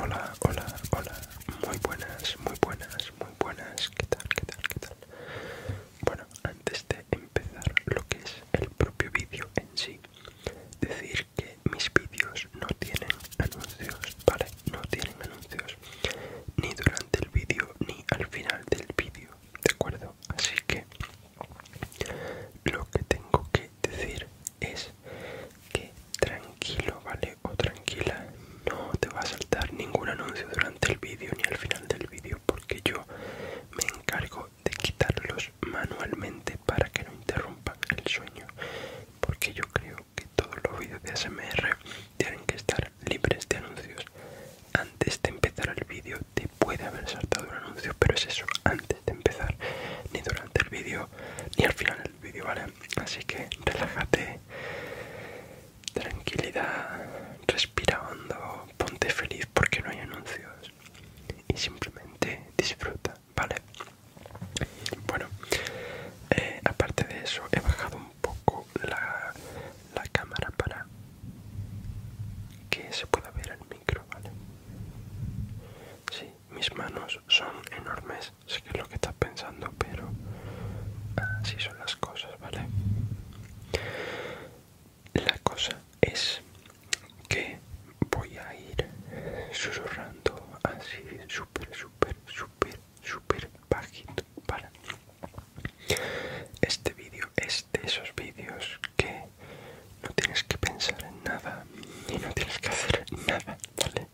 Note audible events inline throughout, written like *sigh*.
Hola, hola, hola, muy buenas, muy buenas, muy buenas, ¿qué tal, qué tal, qué tal? Bueno, antes de empezar lo que es el propio vídeo en sí, decir que mis vídeos no tienen anuncios, ¿vale? No tienen anuncios, ni durante el vídeo, ni al final del vídeo, ¿de acuerdo? Así que lo que tengo que decir es que tranquilo, ¿vale? O tranquila, no te va a saltar ningún anuncio durante el vídeo ni al final del vídeo porque yo me encargo de quitarlos manualmente para que no interrumpan el sueño porque yo creo que todos los vídeos de ASMR tienen que estar libres de anuncios antes de empezar el vídeo te puede haber saltado un anuncio pero es eso antes de empezar ni durante el vídeo ni al final vídeo, ¿vale? Así que relájate, tranquilidad, respira hondo, ponte feliz porque no hay anuncios y simplemente disfruta, ¿vale? Bueno, eh, aparte de eso, he bajado un poco la, la cámara para que se pueda ver el micro, ¿vale? Sí, mis manos son enormes Sé que es lo que estás pensando, pero así son las cosas, ¿vale? La cosa es que voy a ir susurrando así súper, súper, súper, súper bajito, ¿vale? Este vídeo es de esos vídeos que no tienes que pensar en nada y no tienes que hacer nada, ¿vale?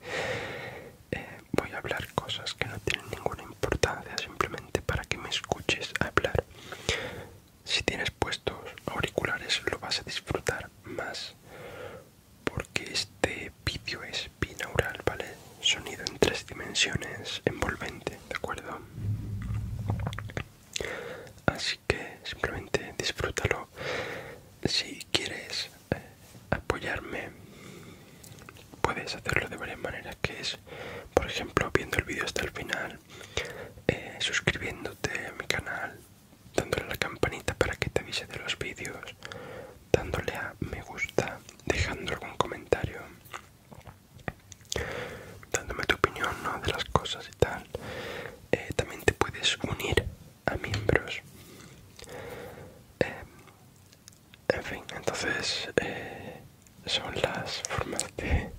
Eh, voy a hablar cosas que no tienen ninguna importancia simplemente para que me escuches hablar. Si tienes puestos auriculares lo vas a disfrutar más porque este vídeo es binaural, ¿vale? Sonido en tres dimensiones envolvente, ¿de acuerdo? Así que simplemente disfrútalo. Si quieres apoyarme puedes hacerlo de varias maneras que es por ejemplo viendo el vídeo hasta el final eh, suscribiéndote a mi canal dándole a la campanita para que te avise de los vídeos dándole a me gusta dejando algún comentario dándome tu opinión de las cosas y tal eh, también te puedes unir a miembros. Eh, en fin, entonces eh, son las formas de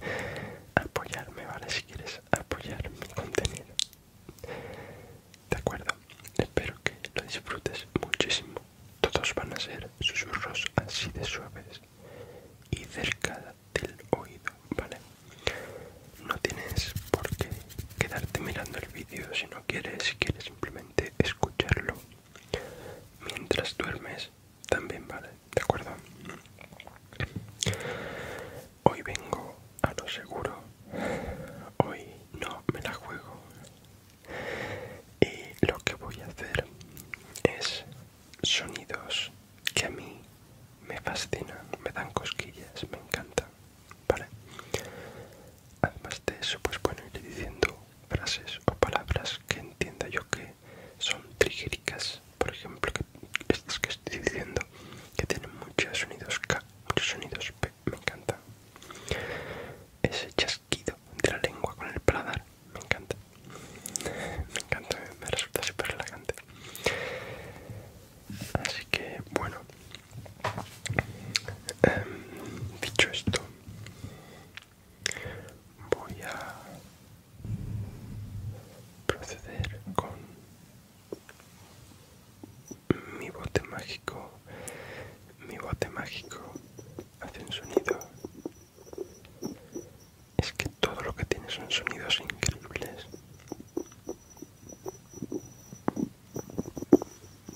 apoyarme, ¿vale? Si quieres apoyar mi contenido. De acuerdo, espero que lo disfrutes muchísimo. Todos van a ser susurros así de suaves y cerca del oído, ¿vale? No tienes por qué quedarte mirando el vídeo si no quieres, si quieres simplemente escucharlo mientras duermes, también vale, ¿de acuerdo? Hoy vengo a lo seguro, hoy no me la juego y lo que voy a hacer es sonidos que a mí me fascinan, me dan cosquillas, me encantan ¿vale? Además de eso, pues bueno, diciendo frases o palabras que entienda yo que son trigéricas, por ejemplo, estas que estoy diciendo, que tienen muchos sonidos K, muchos sonidos P, me encanta. Ese chasquido de la lengua con el paladar, me encanta. Me encanta, me resulta súper relajante así que bueno em, dicho esto voy a proceder con mi bote mágico mi bote mágico hace un sonido es que todo lo que tiene son sonidos increíbles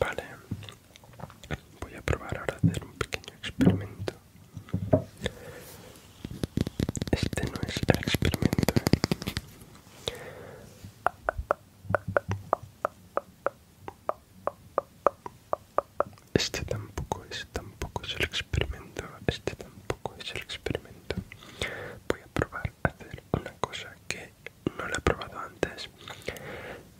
Vale, voy a probar ahora hacer un pequeño experimento. Este no es el experimento, ¿eh? Este tampoco es, tampoco es el experimento. Este tampoco es el experimento. Voy a probar a hacer una cosa que no lo he probado antes.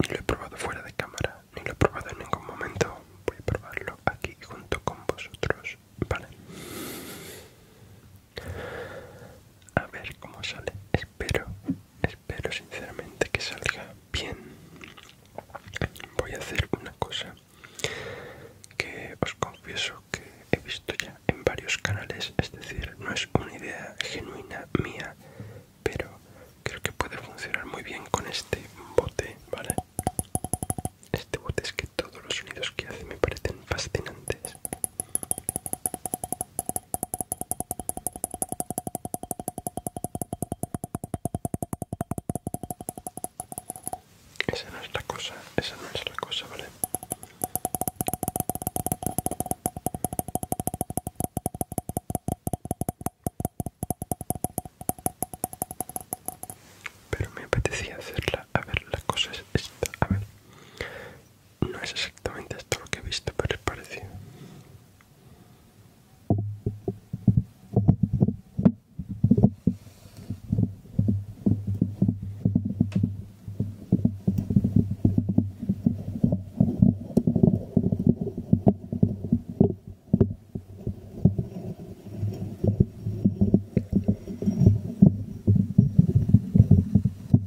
Ni lo he probado fuera de cámara. Ni lo he probado en ningún momento. Voy a probarlo aquí junto con vosotros. Vale. A ver cómo sale. Espero, espero sinceramente que salga bien. Voy a hacer una cosa que os confieso que he visto ya en varios canales, es decir, no es una idea genuina mía, pero creo que puede funcionar muy bien con este bote, ¿vale? Este bote es todos los sonidos que hace me parecen fascinantes. Esa no es la cosa, esa no es la cosa, ¿vale? Pero me apetecía hacerla. A ver, la cosa es esta. A ver. No es exactamente esto lo que he visto, pero es parecido.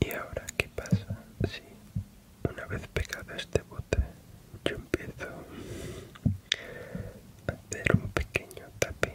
Y ahora, ¿qué pasa sí. Una vez pegado este bote, yo empiezo a hacer un pequeño tape.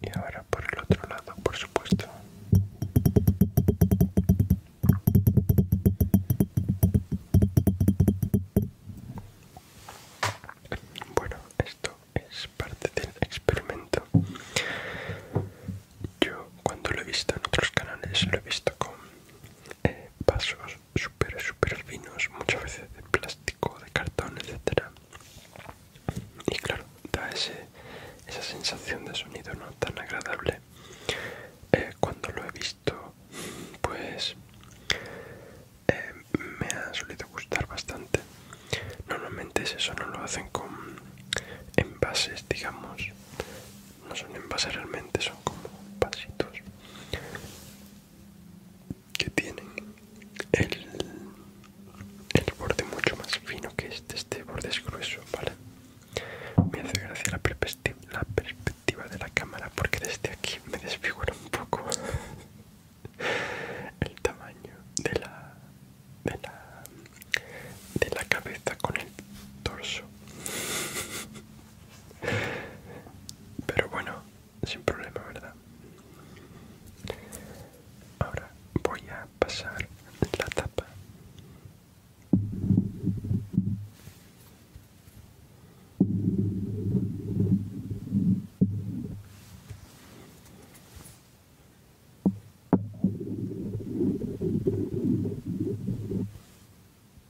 Y ahora por el otro lado, por supuesto. Bueno, esto es parte del experimento. Yo cuando lo he visto en otros canales, lo he visto con pasos vasos super súper finos muchas veces de plástico de cartón etcétera y claro da esa sensación de sonido no tan agradable eh, cuando lo he visto pues eh, me ha solido gustar bastante normalmente eso no lo hacen con envases digamos no son envases realmente son como vasitos que tienen el, borde mucho más fino que este, este borde es grueso, ¿vale? Me hace gracia la perspectiva, la perspectiva de la cámara porque desde aquí me desfigura un poco *laughs* el tamaño de la, de la, de la cabeza con el torso. *laughs* Pero bueno, sin problema, ¿verdad? Ahora voy a pasar la tapa.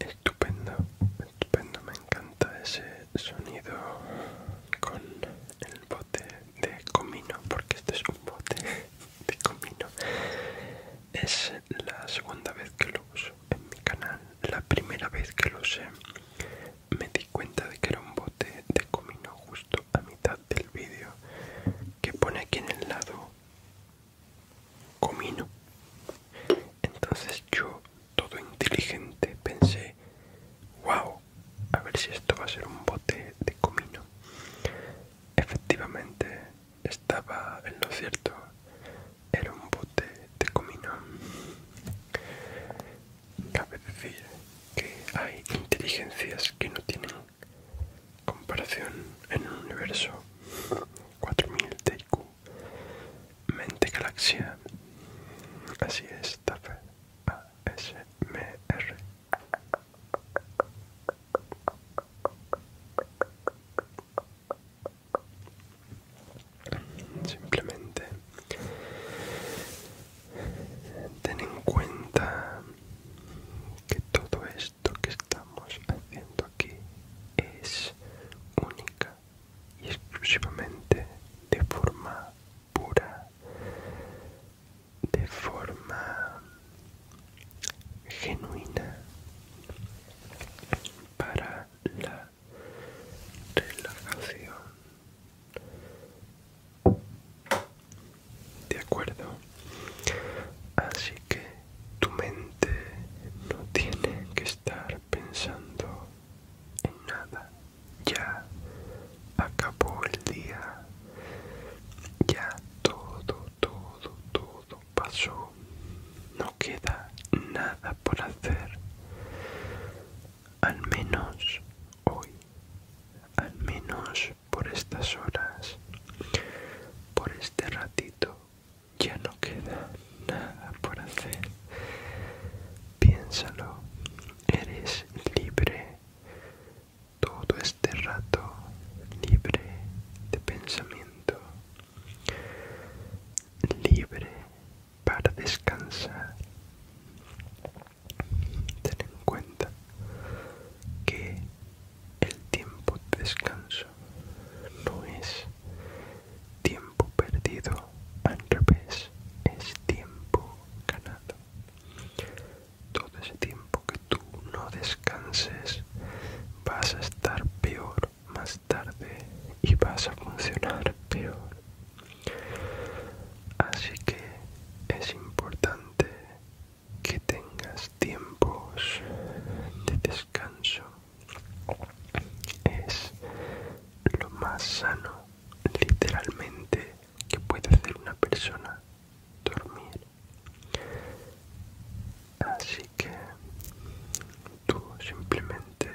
Estupendo, estupendo, me encanta ese sonido con el bote de comino, porque este es un bote de comino. Es la segunda vez que lo uso en mi canal, la primera vez que lo usé me di cuenta de que era un bote de comino justo a mitad del vídeo que pone aquí en el lado comino entonces yo todo inteligente pensé wow a ver si esto va a ser un bote de comino efectivamente estaba en lo cierto era un bote de comino Cabe decir que hay inteligencias que no tienen comparación en un universo. 4000 TQ. Mente Galaxia. Así es, Tafel. ASMR. Simplemente Ten en cuenta que todo esto que estamos haciendo aquí es única y exclusivamente de forma pura, de forma genuina para la relajación de acuerdo. Así que tu mente no tiene que estar pensando en nada. Ya acabó el día. Ya todo, todo, todo pasó. No queda nada por hacer al menos hoy, al menos por estas horas, por este ratito, ya no queda nada por hacer. Piénsalo, eres libre todo este rato, libre de pensamiento, libre para descansar ten en cuenta que el tiempo de descanso no es tiempo perdido, al revés, es tiempo ganado. Todo ese tiempo que tú no descanses vas a estar peor más tarde y vas a funcionar peor. Así que es importante que tengas tiempos de descanso. Es lo más sano, literalmente, que puede hacer una persona dormir. Así que tú simplemente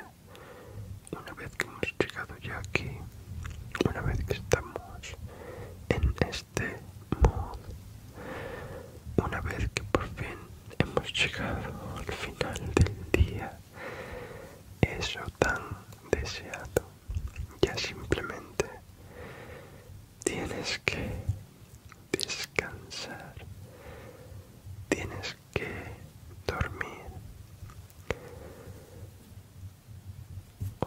una vez que hemos llegado ya aquí una vez que estamos en este mod una vez que por fin hemos llegado al final del día eso tan deseado ya simplemente tienes que descansar tienes que dormir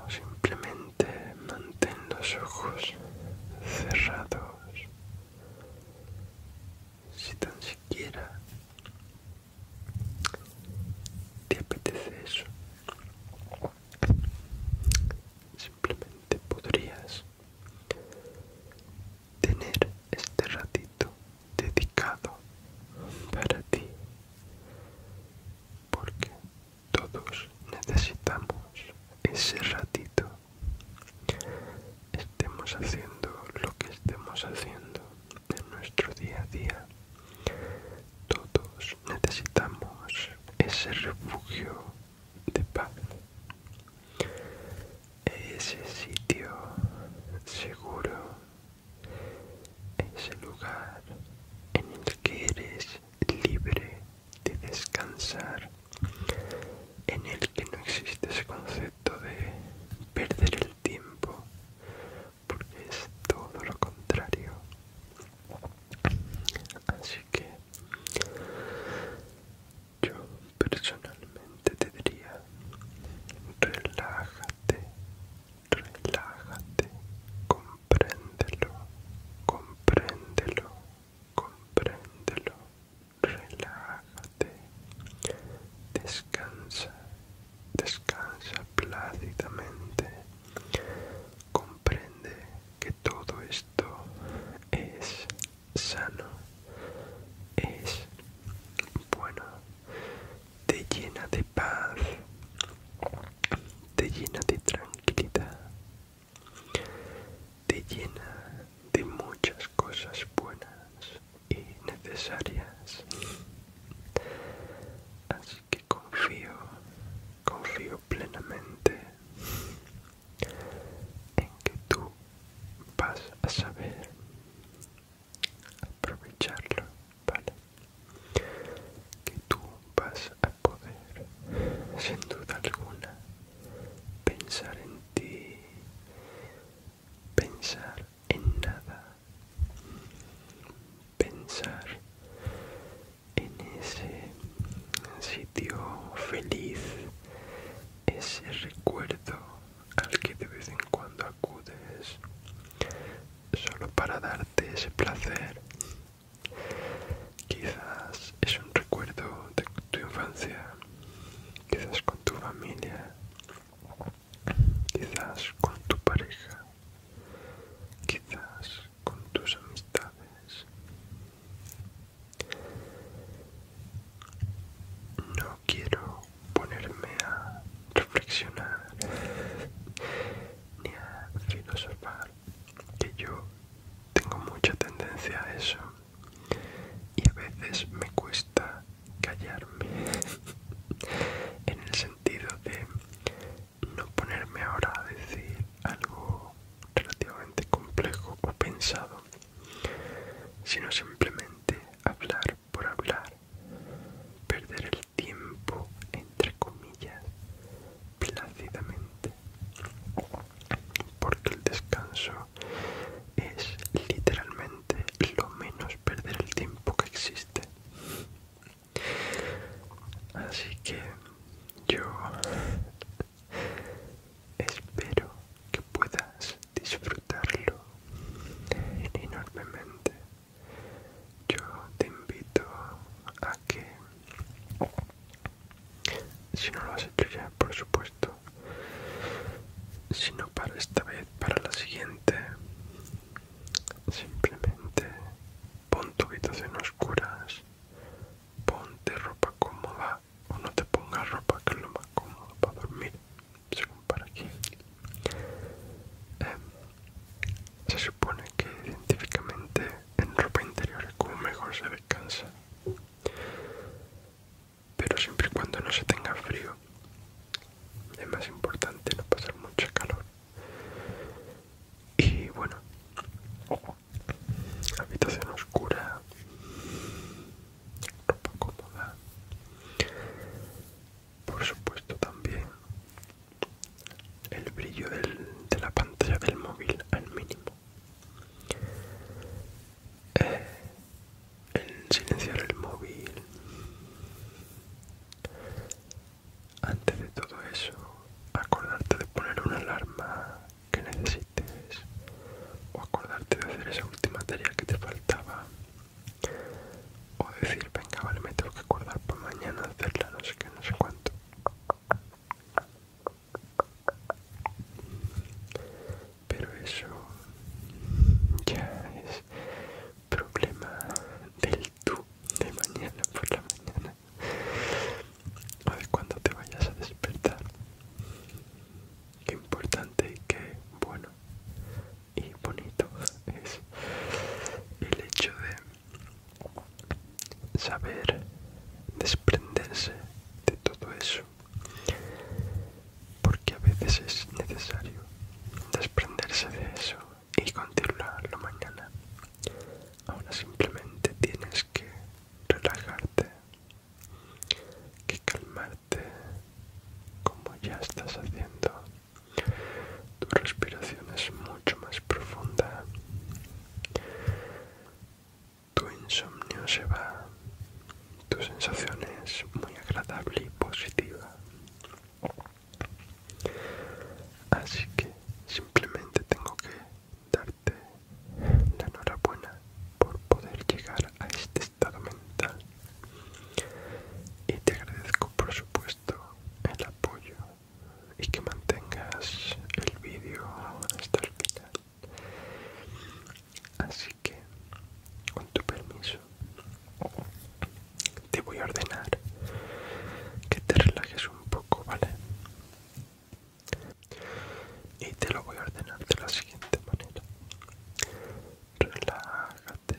o simplemente mantén los ojos cerrados si tan siquiera te apetece eso simplemente podrías tener este ratito dedicado para ti porque todos necesitamos ese ratito estemos haciendo lo que estemos haciendo en nuestro día a día todos necesitamos ese refugio de paz ese sitio seguro ese lugar en el que eres libre de descansar, en el que no existe ese concepto de perder el tiempo, porque es todo lo contrario. Así que yo personalmente te diría, relájate relájate, compréndelo, compréndelo, compréndelo, relájate, descansa, descansa plácidamente, comprende que todo esto es sano, es bueno te llena de paz, te llena de tranquilidad, te llena de muchas cosas buenas y necesarias. Así que confío, confío plenamente en que tú vas a saber aprovecharlo, para Que tú vas a poder, sin duda alguna, pensar en ti, pensar en nada, pensar en ese sitio feliz, ese recuerdo al que de vez en cuando acudes solo para darte ese placer. Quizás es un recuerdo de tu infancia, quizás con tu familia, quizás con tu pareja, quizás con tus amistades. No quiero ponerme a reflexionar a filosofar, que yo tengo mucha tendencia a eso y a veces me cuesta callarme *laughs* en el sentido de no ponerme ahora a decir algo relativamente complejo o pensado, sino simplemente hablar por hablar perder el tiempo, entre comillas, plácidamente, porque el descanso es literalmente lo menos perder el tiempo que existe. Así que yo espero que puedas disfrutarlo enormemente yo te invito a que si no lo has hecho ya por supuesto si no para esta vez para la siguiente simplemente pon tu habitación a oscuras ponte ropa cómoda o no te pongas ropa que es lo más cómoda para dormir según para aquí Em, se supone que científicamente en ropa interior es como mejor se descansa, pero siempre y cuando no se tenga frío es más importante no pasar mucho calor. Y bueno, habitación oscura, ropa cómoda, por supuesto también el brillo de la pantalla del móvil al mínimo. el eh, en silenciar el móvil. Antes de todo eso, acordarte de poner una alarma que necesites o acordarte de hacer esa última tarea que te faltaba o decir venga vale me tengo que acordar por mañana hacerla no sé qué no sé cuánto pero eso ya es problema del tú de mañana por la mañana o de cuando te vayas a despertar qué importante y qué bueno y bonito es el hecho de saber desprenderse de todo eso porque a veces es necesario desprenderse de eso y continuarlo mañana ahora simplemente tienes que relajarte que calmarte como ya estás haciendo tu respiración es mucho más profunda. Tu insomnio se va. Tu sensación es muy agradable y positiva. Así que simplemente tengo que darte la enhorabuena por poder llegar a este estado mental. Y te agradezco por supuesto el apoyo y que mantengas el vídeo hasta el final. Así que, con tu permiso, te voy a ordenar que te relajes un poco, ¿vale? Y te lo voy a ordenar de la siguiente manera. Relájate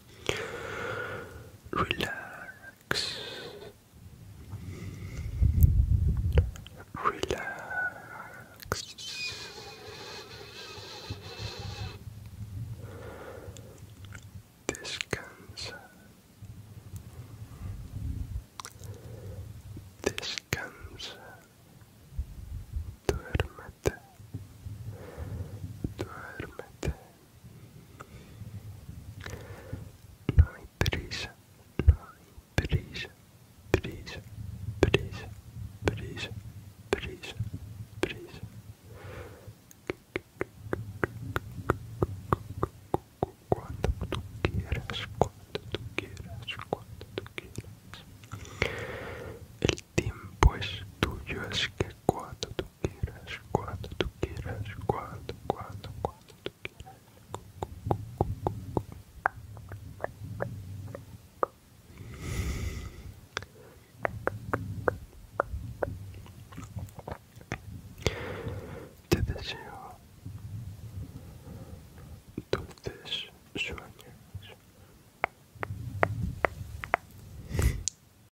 Relax. Relax. Descansa. Descansa. duerme, duerme. No hay prisa, no hay prisa, prisa, prisa, prisa, prisa, prisa. Cuando tú quieras, cuando tú quieras, cuando tú quieras. El tiempo es tuyo, es que cuando tú queiras, quando tu queiras, quando quando quando tu queiras. Te deseo dulces sueños.